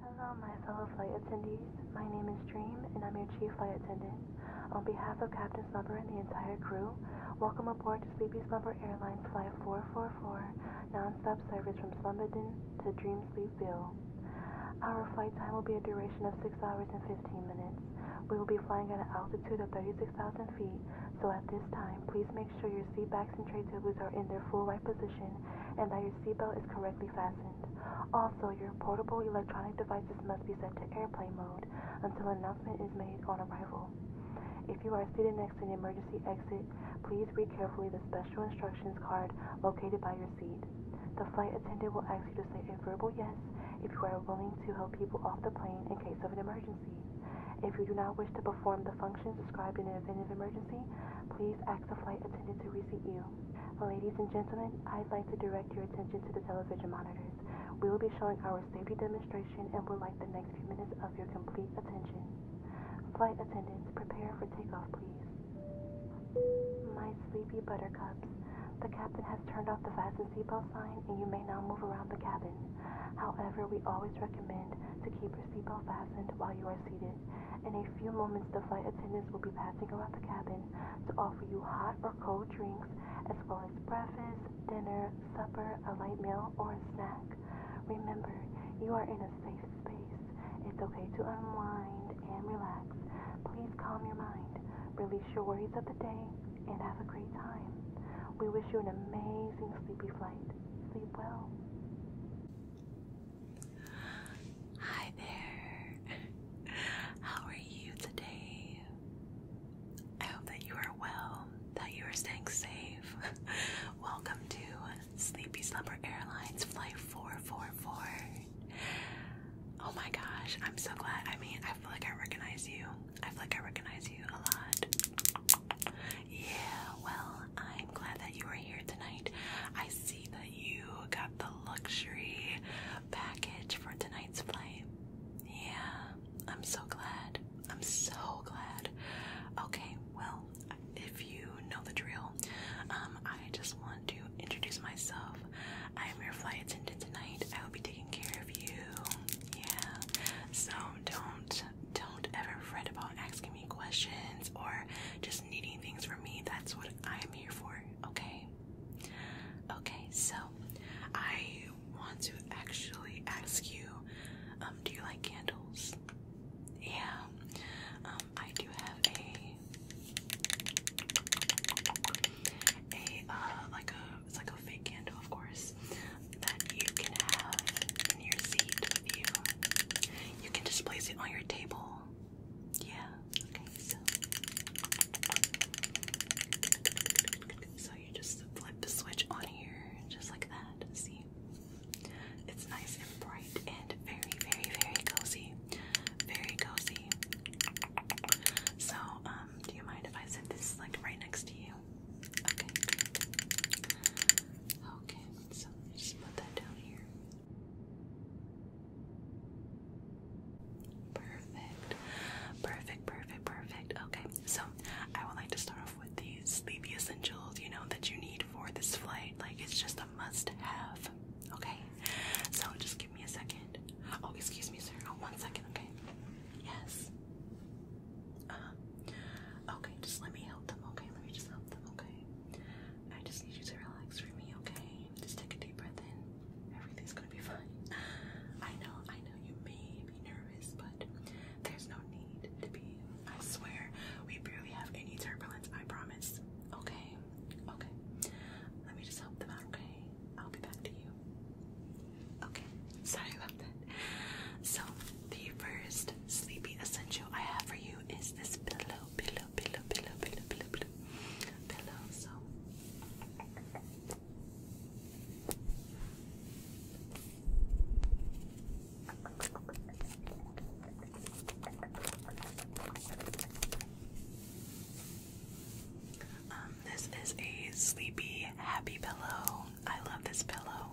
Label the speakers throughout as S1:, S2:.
S1: Hello, my fellow flight attendees. My name is Dream, and I'm your chief flight attendant. On behalf of Captain Slumber and the entire crew, welcome aboard to Sleepy Slumber Airlines Flight 444, nonstop service from Slumberton to Dream Sleepville. Our flight time will be a duration of 6 hours and 15 minutes. We will be flying at an altitude of 36,000 feet, so at this time, please make sure your seat backs and tray tables are in their full right position and that your seatbelt is correctly fastened. Also, your portable electronic devices must be set to airplane mode until announcement is made on arrival. If you are seated next to an emergency exit, please read carefully the special instructions card located by your seat. The flight attendant will ask you to say a verbal yes if you are willing to help people off the plane in case of an emergency. If you do not wish to perform the functions described in an event of emergency, please ask the flight attendant to reseat you. Ladies and gentlemen, I'd like to direct your attention to the television monitors. We will be showing our safety demonstration and will like the next few minutes of your complete attention. Flight attendants, prepare for takeoff, please. My sleepy buttercups, the captain has turned off the fasten seatbelt sign and you may now move around the cabin. However, we always recommend to keep your seatbelt fastened while you are seated. In a few moments, the flight attendants will be passing around the cabin to offer you hot or cold drinks, as well as breakfast, dinner, supper, a light meal, or a snack. Remember, you are in a safe space. It's okay to unwind, and relax. Please calm your mind, release your worries of the day, and have a great time. We wish you an amazing sleepy flight. Sleep well.
S2: Hi there. How are you today? I hope that you are well, that you are staying safe. Welcome to Sleepy Slumber Airlines Flight 444. oh my gosh, I'm so glad. I mean, I feel like I recognize you. I feel like I recognize you a lot. Yeah, well, I'm glad that you are here tonight. I see that you got the luxury package for tonight's flight. Yeah, I'm so glad. I'm so glad. Okay, well, if you know the drill, um, I just want to introduce myself I am your flight attendant tonight. I will be taking care of you. Yeah. So don't don't ever fret about asking me questions or just needing things from me. That's what I am here for. Okay. Okay. So I want to actually ask you. Um, do you like candles? Yeah. Um, I do have a a uh, like a it's like a fake candle, of course, that you can have in your seat with you. You can just place it on your table. Yeah. Okay. So, you just flip the switch on here, just like that. See, it's nice and bright and very, very, very cozy. Very cozy. So, um, do you mind if I sit this like right next to you? Okay, Okay, so just put that down here. Perfect. Perfect, perfect, perfect. Okay, so I would like to start off with these sleepy essentials, you know, that you need for this flight. Like, it's just a must have. Okay? So just give me a second. Oh, excuse me, sir. Oh, one second, okay? Yes. Uh, okay, just let me help them, okay? Let me just help them, okay? I just need you to relax for me, okay? Just take a deep breath in. Everything's gonna be fine. I know, I know you may be nervous, but there's no need to be. I swear, we barely have any turbulence, I promise. Okay? Okay. Let me just help them out, okay? I'll be back to you. Okay. Sorry about that. So, the first sleepy essential I have for you is this pillow, pillow, pillow, pillow, pillow, pillow, pillow. Pillow, so. Um, this is a sleepy happy pillow. I love this pillow.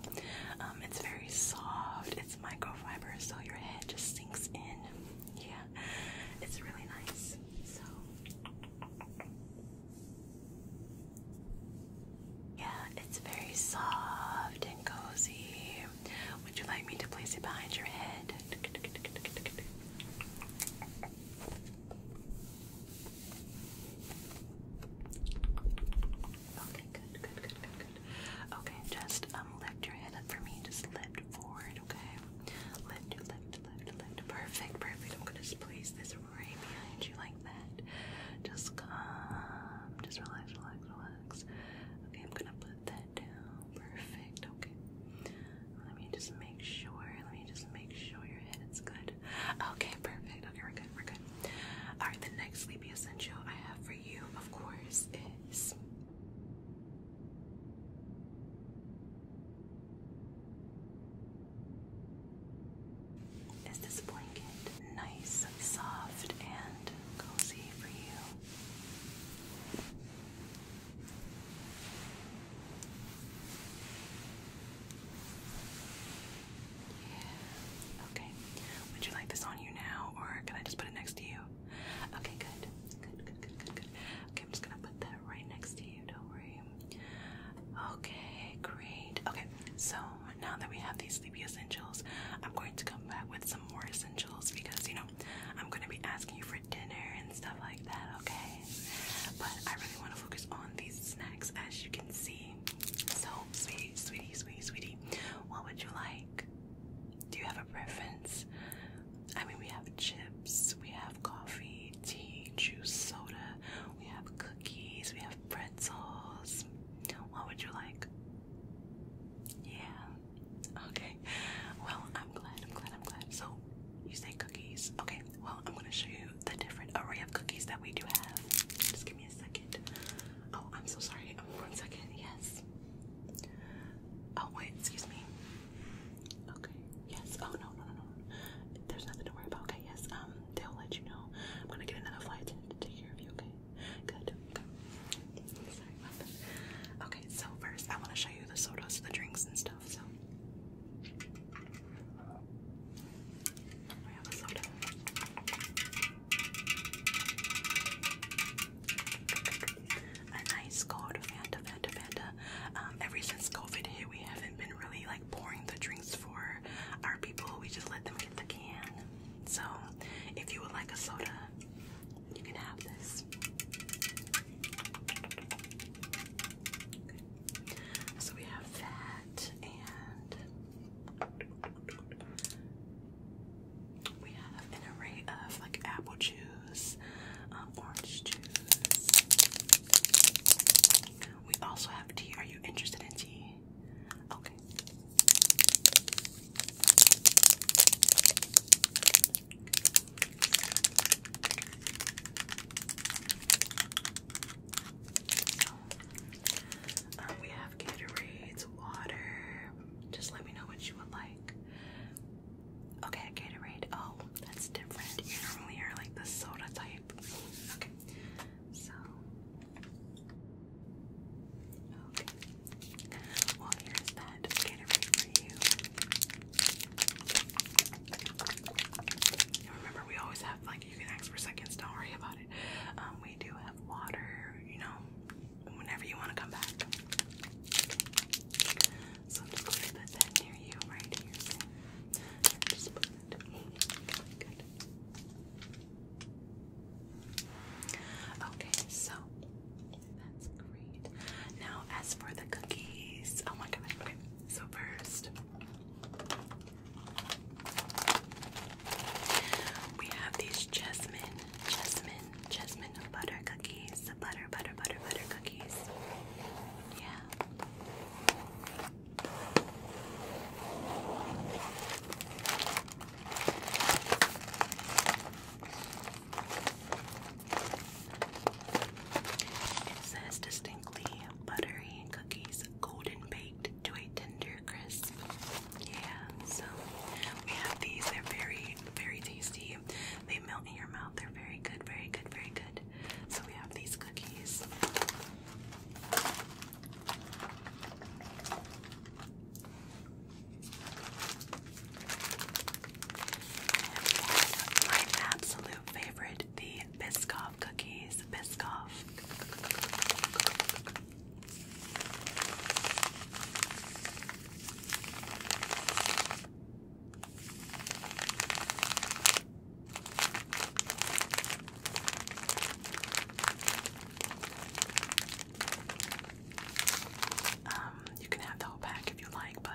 S2: Um, it's very soft. It's microfiber, so your head just sinks in. Yeah, it's really nice. So. Yeah, it's very soft and cozy. Would you like me to place it behind your head? Okay, good, good, good, good, good. Okay, just um lift your head up for me. Just lift forward, okay? Lift, lift, lift, lift. Perfect, perfect. I'm gonna place this right behind you like that. Just calm. Just relax, relax, relax. Okay, I'm gonna put that down. Perfect. Okay. Let me just make sure. Let me just make sure your head good. Okay, perfect. Okay, we're good. We're good. Alright, the next sleepy essential I have for you, of course, is this blanket nice, soft, and cozy for you? Yeah. Okay. Would you like this on you now, or can I just put it next to you? Okay, good. Good, good, good, good, good. Okay, I'm just gonna put that right next to you, don't worry. Okay, great. Okay, so now that we have these sleepy essentials, I'm going to come back with some more essentials because, you know, I'm gonna be asking you for dinner and stuff like that, okay? But I really want to focus on these snacks as you can see. So, sweetie, sweetie, sweetie, sweetie, what would you like? Do you have a preference? I mean, we have chips, we have coffee, tea, juice, soda, we have cookies, we have pretzels. What would you like? Yeah. Okay. Well, I I'm glad, I'm glad, I'm glad. So, you say cookies. Okay, well, I'm gonna show you the different array of cookies that we do have. Just give me a second. Oh, I'm so sorry. Um, one second, yes. Oh, wait, excuse me. Okay, yes. Oh, no, no, no, no. There's nothing to worry about. Okay, yes. Um, they'll let you know. I'm gonna get another flight attendant to take care of you, okay? Good. Good. Sorry about that. Okay, so first I want to show you the sodas, the drinks, and stuff we have a nice cold Fanta, Fanta, Fanta. Um, ever since COVID hit, we haven't been really like pouring the drinks for our people. We just let them get the can. So if you would like a soda, you can have this. So we have that, and we have an array of like apple juice, um, orange juice. We also have tea. Are you interested in tea? Okay. So, um, we have Gatorades, water. Just let me know what you would like. Okay, Gatorade. Oh, that's different. You normally are like the soda type. Okay, so. Okay. Well, here's that remember, we always have like you can ask for seconds. Don't worry about it. Um, we do have water, you know, whenever you want to come back. So I'm just going to near you, right here. just put it. Okay, so that's great. Now, as for the cookies, oh my god, So, first, we have these jasmine, jasmine, jasmine butter cookies. Butter, butter, butter, butter cookies. Yeah. It says distinctly buttery cookies, golden baked to a tender crisp. Yeah, so we have these. They're very, very tasty. They melt in your mouth. They're very good, very good, very good. So we have these cookies my absolute favorite, the Biscoff cookies. Biscoff. Um, you can have the whole pack if you like, but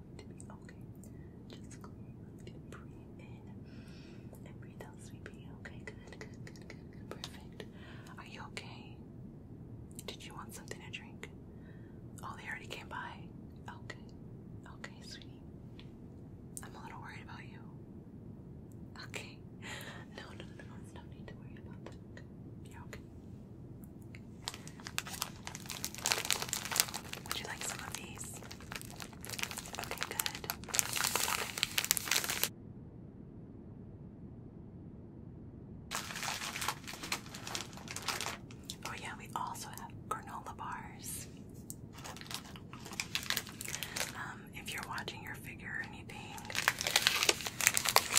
S2: okay. Just go and breathe in and breathe out, sleepy. Okay, good, good, good, good, perfect. Are you okay? Did you want something to drink? Oh, they already came by. Okay, okay, sweetie. I'm a little worried about you. Okay. No, no, no, no, no need to worry about that. You're okay. Would you like some of these? Oh, yeah, we also have granola bars. Um, if you're watching your figure or anything,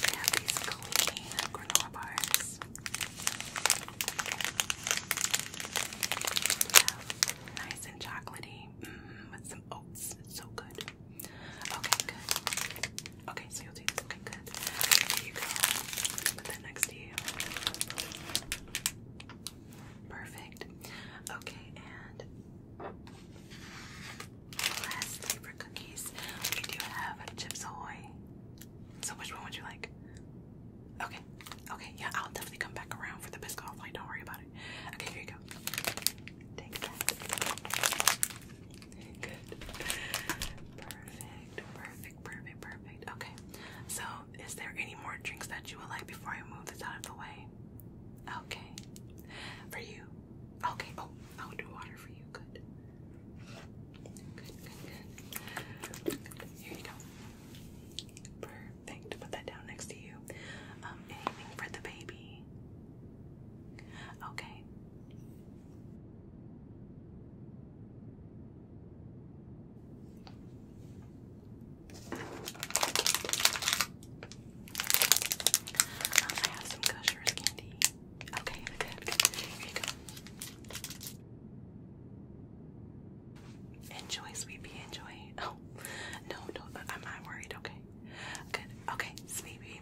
S2: we have these clean granola bars nice and chocolatey mm-hmm, with some oats. so good. Okay, good. Okay, so you'll do this. Okay, good. Here you go. Put that next to you. Perfect. Okay, and lastly for cookies, we do have Chips Ahoy. So which one would you like? Okay, okay, yeah, I'll definitely come back around for the Biscoff Don't worry about it. Okay, here you go. Take that. Good. Perfect, perfect, perfect, perfect. Okay, so is there any more drinks that you would like before I move this out of the way? Okay, for you. Okay, oh, I'll do water for you. Good. Good, good, good. Here you go. Perfect. Put that down next to you. Um, anything for the baby? Okay. Um, I have some Gushers candy. Okay, good, good. Here Enjoy, Sweepy, enjoy. Oh, no, no, uh, I'm not worried, okay? Good, okay, Sweepy.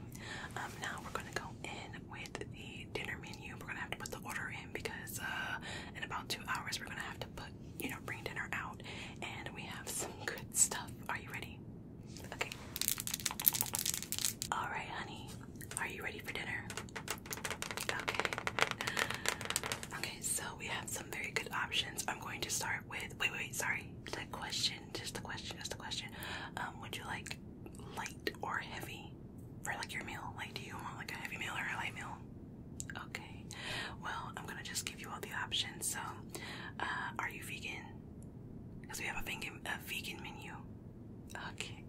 S2: Um, now we're gonna go in with the dinner menu. We're gonna have to put the order in because, uh, in about two hours, we're gonna have to put, you know, bring dinner out. And we have some good stuff. Are you ready? Okay. Alright, honey. Are you ready for dinner? Okay. Okay, so we have some very good options. I'm going to start with wait, wait, sorry. The question, just the question, just the question. Um, would you like light or heavy for like your meal? Like, do you want like a heavy meal or a light meal? Okay. Well, I'm gonna just give you all the options. So, uh, are you vegan? Because we have a vegan, a vegan menu. Okay.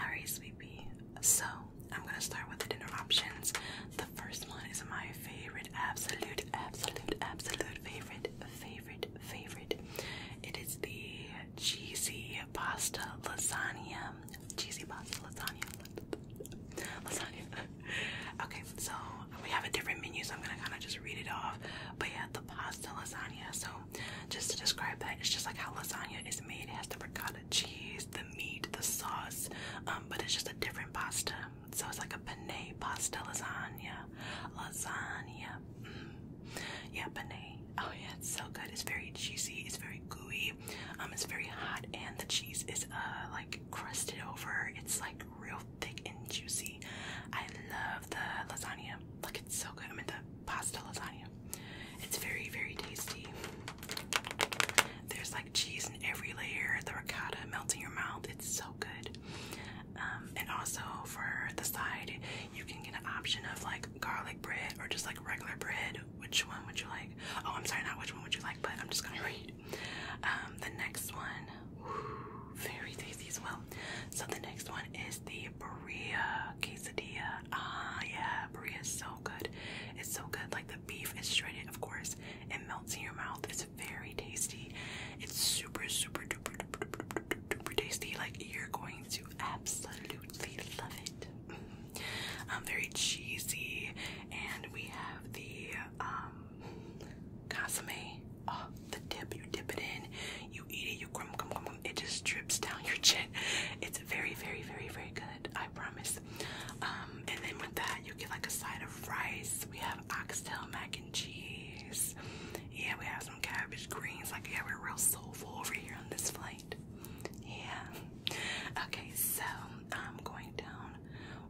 S2: All right, sweetie. So I'm gonna start with the dinner options. The first one is my favorite, absolute, absolute, absolute favorite, favorite, favorite. It is the cheesy pasta lasagna. Cheesy pasta lasagna. Lasagna. okay, so we have a different menu, so I'm gonna kind of just read it off. But yeah, the pasta lasagna. So just to describe that, it's just like how lasagna is made. It has the ricotta the cheese, the meat, the sauce, um, but it's just a different pasta. So it's like a penne pasta lasagna, lasagna. Mm. Yeah, penne. Oh yeah, it's so good. It's very cheesy. It's very gooey. Um, it's very hot, and the cheese is uh like crusted over. It's like real thick and juicy. I love the lasagna. Like it's so good. I mean the pasta lasagna. It's very very tasty. There's like cheese in every layer, the ricotta melts in your mouth. It's so good. Um, and also for the side, you can get an option of like garlic bread or just like regular bread. Which one would you like? Oh, I'm sorry, not which one would you like, but I'm just gonna read. Um, the next one, very tasty as well. So the next one is the burrilla quesadilla. Ah, yeah, burrilla is so good. It's so good. Like the beef is shredded, of course. It melts in your mouth. It's very tasty. It's super, super duper, duper, duper, duper, duper tasty. Like you're going to absolutely love it. Mm-hmm. um, very cheesy. And we have the um, consomme. Oh, the dip. You dip it in. You eat it. You crumb, crumb, crumb. It just drips down your chin. It's very, very, very, very good. I promise. Um, and then with that, you get like a side of rice. We have oxtail mac and cheese. Yeah, we have some cabbage greens. Like, yeah, we're real soulful over here on this flight. Yeah. Okay, so I'm um, going down.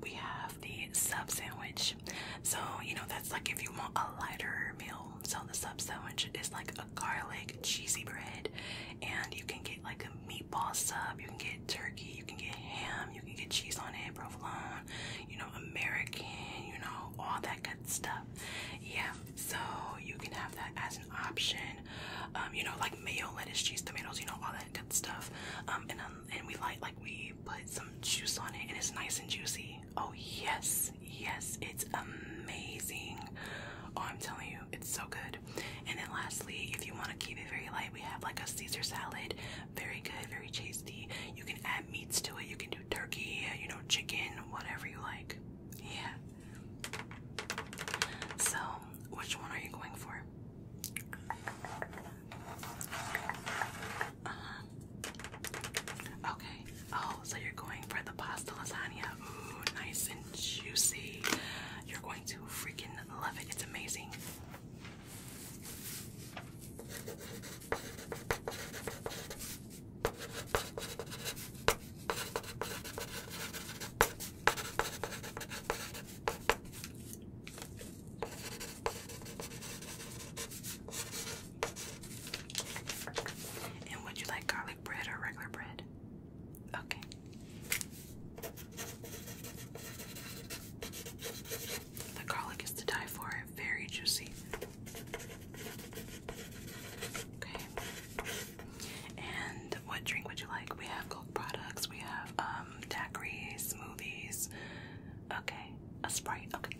S2: We have the sub sandwich. So, you know, that's like if you want a lighter meal. So, the sub sandwich is like a garlic cheesy bread and you can get like a meatball sub, you can get turkey, you can get ham, you can get cheese on it, provolone, you know, American, you know, all that good stuff. Yeah, so you can have that as an option. Um, you know, like mayo, lettuce, cheese, tomatoes, you know, all that good stuff. Um, and um, and we like like we put some juice on it, and it's nice and juicy. Oh yes, yes, it's amazing. Oh, I'm telling you, it's so good. And then lastly, if you want to keep it very light, we have like a Caesar salad. Very good, very tasty. You can add meats to it. You can do turkey, you know, chicken, whatever you like. Yeah. So, which one are you going for? Uh-huh. Okay. Oh, so you're going for the pasta lasagna. Ooh, nice and juicy. You're going to freaking love it. It's amazing. And would you like garlic bread or regular bread? Okay. The garlic is to die for, very juicy. Okay. And what drink would you like? We have Coke products, we have um daiquiri, smoothies. Okay. A Sprite. Okay,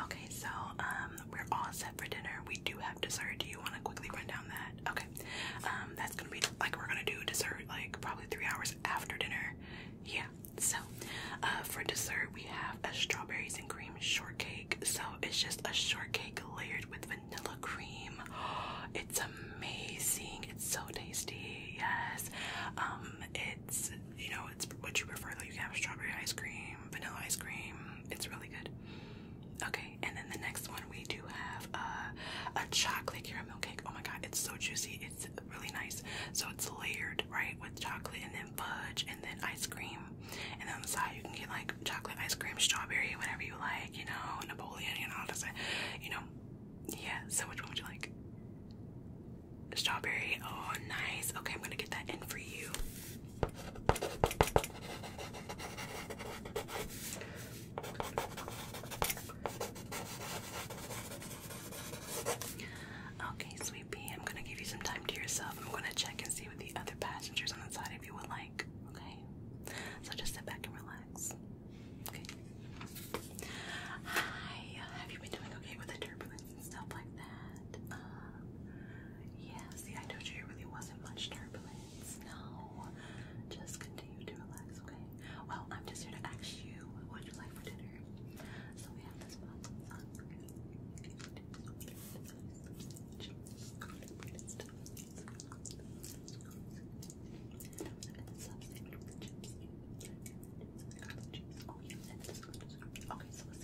S2: Okay, so um, we're all set for dinner. We do have dessert. Do you want to quickly run down that? Okay, um, that's gonna be like we're gonna do dessert like probably three hours after dinner. Yeah. So, uh, for dessert we have a strawberries and cream shortcake. So it's just a shortcake layered with vanilla cream. It's amazing. It's so tasty. Yes. Um, it's you know it's what you prefer. Like you have strawberry ice cream vanilla ice cream. It's really good. Okay, and then the next one we do have uh, a chocolate caramel cake. Oh my god, it's so juicy. It's really nice. So it's layered, right, with chocolate and then fudge and then ice cream. And then on the side you can get like chocolate ice cream, strawberry, whatever you like, you know, Napoleon, you know, just you know. Yeah, so which one would you like? Strawberry. Oh, nice. Okay, I'm gonna get that in for you. Okay, sweetie, I'm gonna give you some time to yourself. I'm gonna check and see with the other passengers on the side if you would like. Okay, so just sit back and relax. Hi. Have you been doing okay with the turbulence? and stuff like that. Um, yeah, see, I told you it really wasn't much turbulence. No, just continue to relax, okay? Well, I'm just here to ask you what would you like for dinner. So we have this box of fun. Okay, so let's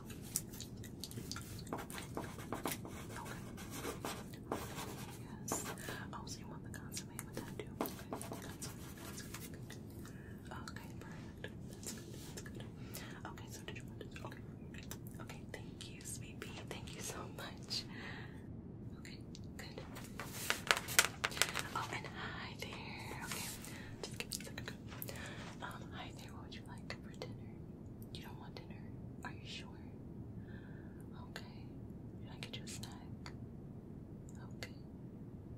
S2: okay. Yes. Oh, you want the consomme with that too? Okay, That's good. That's good. Okay, so did you want to? Okay. Okay, thank you, sweet Thank you so much. Okay, good. Oh, and hi there. Okay, just Um, hi there. What would you like for dinner? You don't want dinner? Are you sure? Okay. Can I get you a snack? Okay.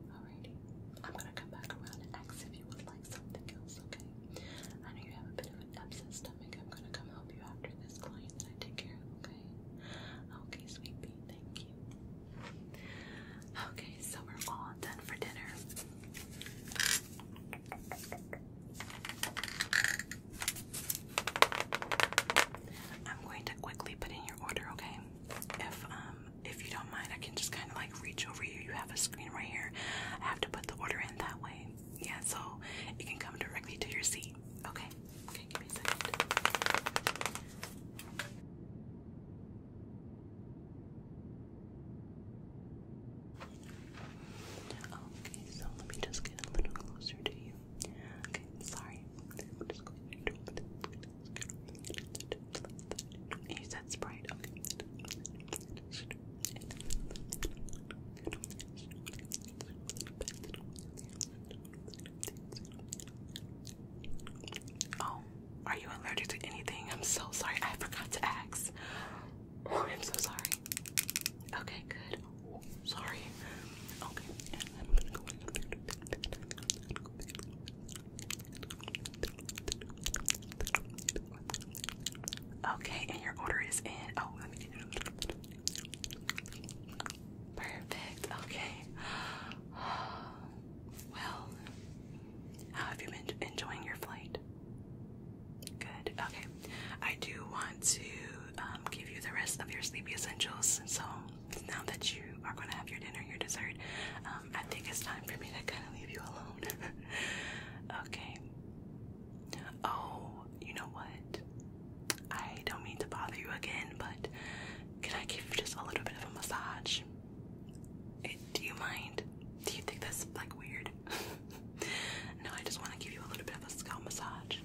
S2: Alrighty. I'm gonna come back around and ask if you would like something else, okay? I know you have a bit of an upset stomach. I'm gonna come help you after this client I take care okay? Okay, sweet thank you. Okay, so we're all done for dinner. I'm going to quickly put in your order, okay? If um if you don't mind, I can just kind of like reach over you. You have a screen right here. I have to put the order in that way. Yeah, so you can come directly to your seat. Okay. Okay, give me a second. Okay, so let me just get a little closer to you. Okay, sorry. You said Sprite, okay. Oh, are you allergic to anything? I'm so sorry, I forgot to ask. Oh, I'm so sorry. Okay, good. sorry. Okay, Okay, and your order is in. Oh, Perfect. Okay. Well, how have you been enjoying your flight? Good. Okay. I do want to um, give you the rest of your sleepy essentials. So now that you are going to have your dinner, your dessert, um, I think it's time for me to kind of leave you alone. okay. Oh, you know what? I don't mean to bother you again, but can I give you just a little bit of a massage? Eh, do you mind? Do you think that's like weird? no, I just want to give you a little bit of a scalp massage.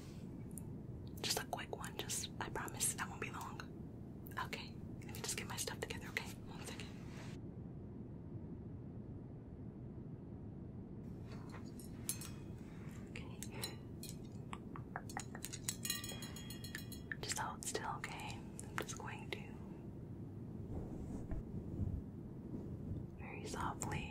S2: Just a quick one, just I promise that won't be long. Okay, let me just get my stuff together, okay? One second. Okay. Just hold still, okay? I'm just going to very softly.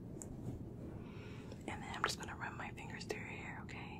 S2: And then I'm just going to run my fingers through your hair, okay?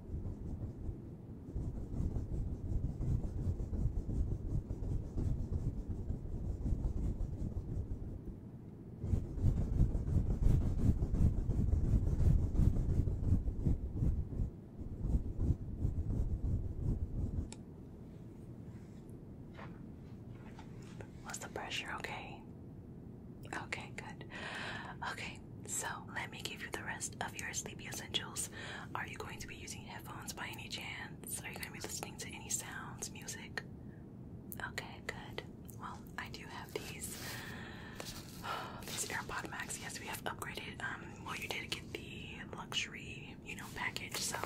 S2: What's the pressure okay? Okay, good. Okay, so let me give you the rest of your sleepy essentials. Are you going to be using headphones by any chance? Are you going to be listening to any sounds, music? Okay, good. Well, I do have these oh, these AirPod Max. Yes, we have upgraded. Um, well, you did get the luxury, you know, package. So.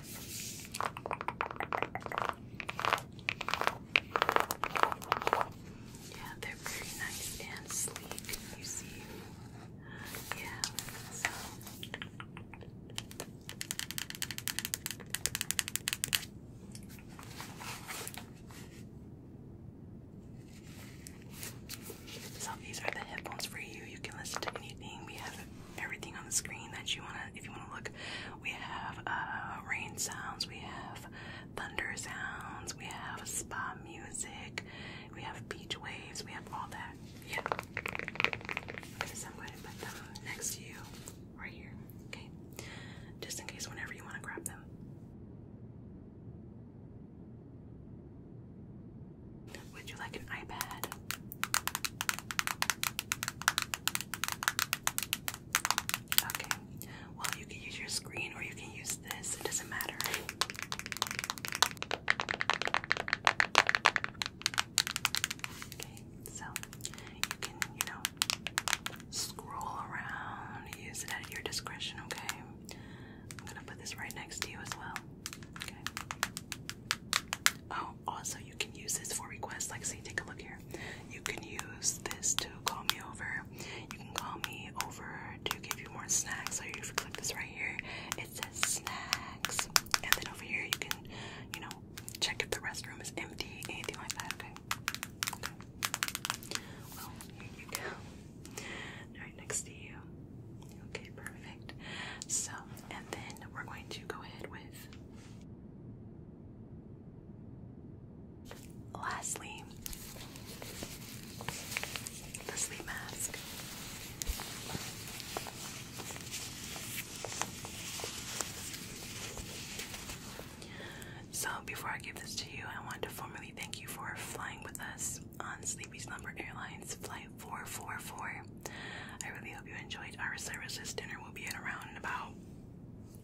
S2: Yeah, they're very nice and sleek, you see. Yeah, so. these are the headphones for you. You can listen to anything. We have everything on the screen that you wanna if you wanna look. We have uh, rain sounds, we have thunder sounds, we have spa music, we have beach waves, we have all that. Yeah. Okay, I'm going to put them next to you right here. Okay. Just in case whenever you wanna grab them. Would you like an iPad? Okay. Well, you can use your screen or you can use this. It doesn't matter. Okay, so you can, you know, scroll around, use it at your discretion, okay? I'm gonna put this right next to you as well. Oh, also you can use this for requests. Like say take a look here. You can use this to call me over. You can call me over to give you more snacks. So you click this right here. It says snacks. And then over here you can, you know, check if the restroom is empty, anything like that, Well, here you go. Right next to you. Okay, perfect. So, and then we're going to go ahead with lastly the sleep mask. So, before I give this to you, I want to formally thank you for flying with us on Sleepy Slumber Airlines Flight 444. I really hope you enjoyed our services. Dinner will be in around about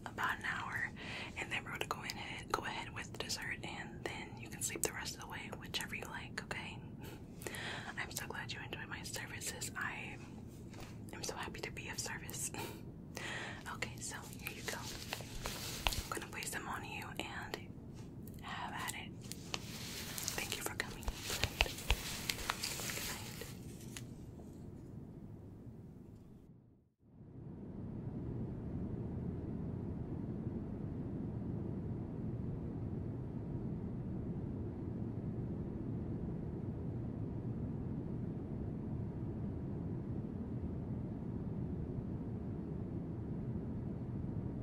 S2: about an hour, and then we're gonna go ahead with dessert, and then you can sleep the rest of the way, whichever you like. Okay. I'm so glad you enjoyed my services. I am so happy to be of service. okay, so here you go. I'm gonna place them on you and have at it. Thank you for coming. Good